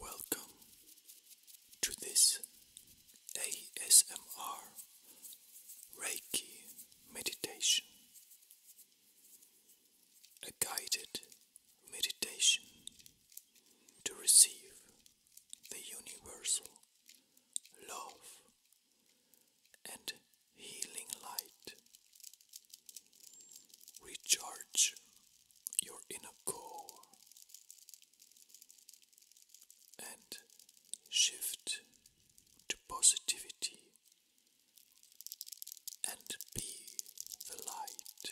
Welcome to this ASMR Reiki meditation, a guided meditation to receive the universal love and healing light. Recharge your inner core and shift to positivity and be the light.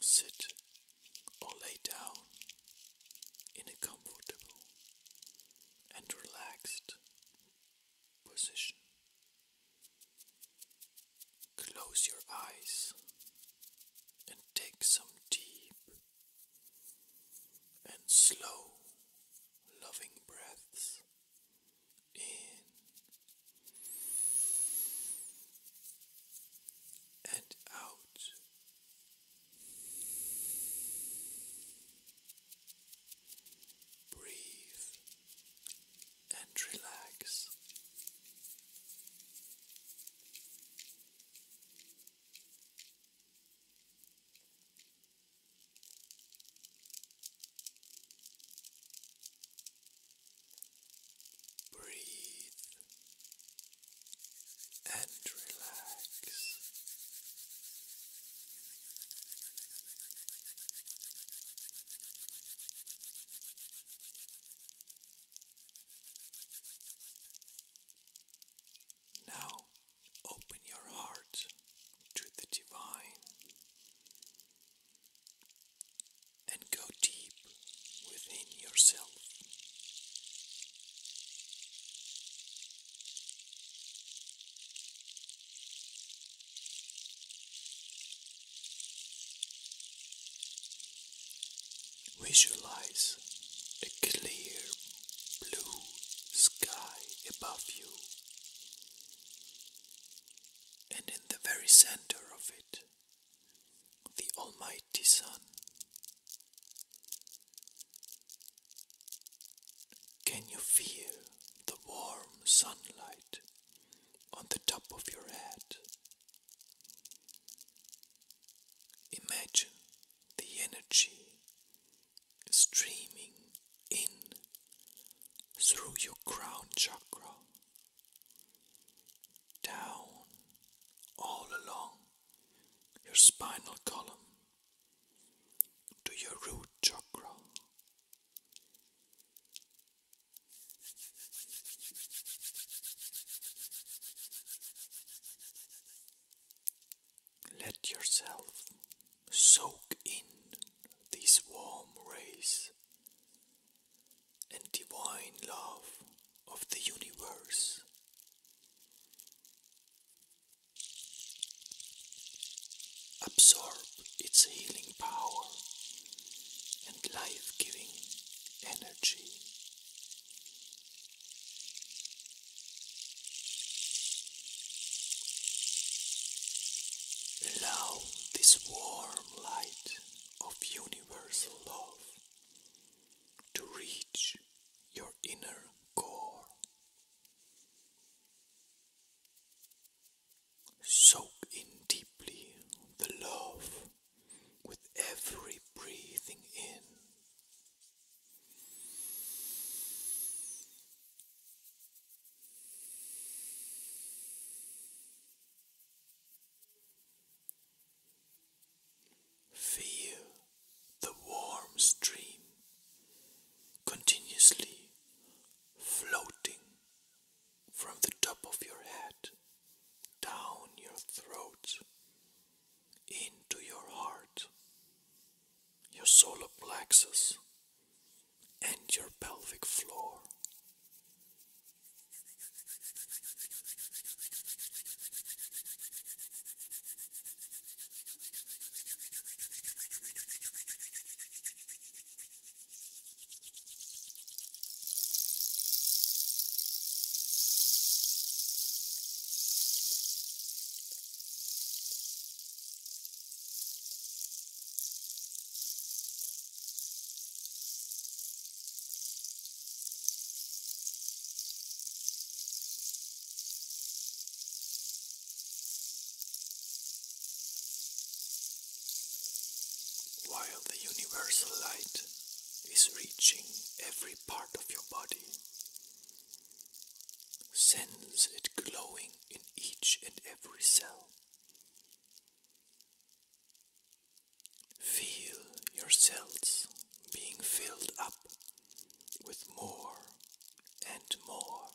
Sit or lay down in a comfortable and relaxed position. Close your eyes and take some deep and slow, loving breaths in and out. Breathe and relax. Breathe and relax. Now open your heart to the divine and go deep within yourself. Visualize a clear blue sky above you and in the very center of it, the Almighty Sun. Can you feel the warm sunlight on the top of your head? Imagine the energy streaming in through your crown chakra, down all along your spinal column to your root chakra. Let yourself Soak in these warm rays and divine love of the universe. Absorb its healing power and life giving energy. Allow this warm light of universal love to reach your inner core. Soak in deeply the love with every breathing in. Feel the warm stream continuously floating from the top of your head down your throat into your heart your solar plexus, and your pelvic floor. While the universal light is reaching every part of your body, Sends it glowing in each and every cell. Feel your cells being filled up with more and more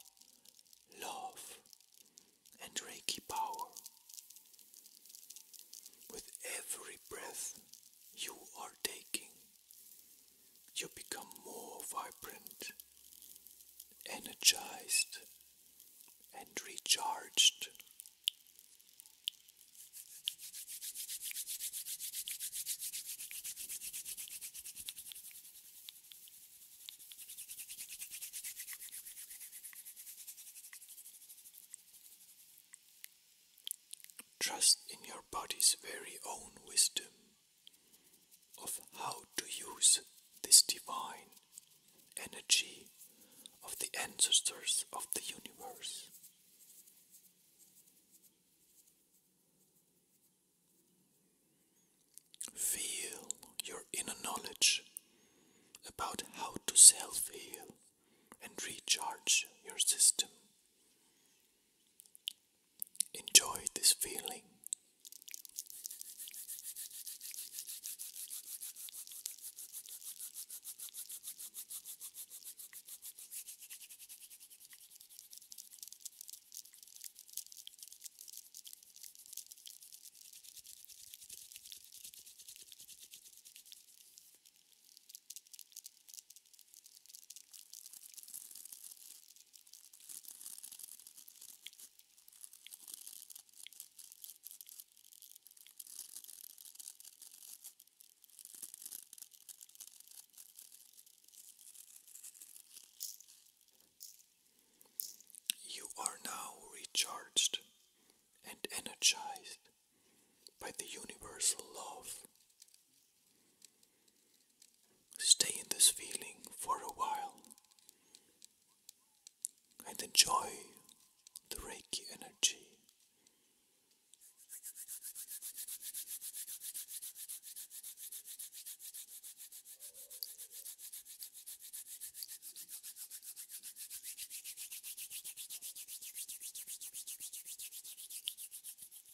love and Reiki power. With every breath you are taking, you become more vibrant, energized, and recharged. Trust in your body's very own wisdom of how to use this divine energy of the ancestors of the universe. Feel your inner knowledge about how to self heal and recharge your system. Enjoy this feeling. You are now recharged and energized by the universal love Stay in this feeling for a while and enjoy the Reiki energy.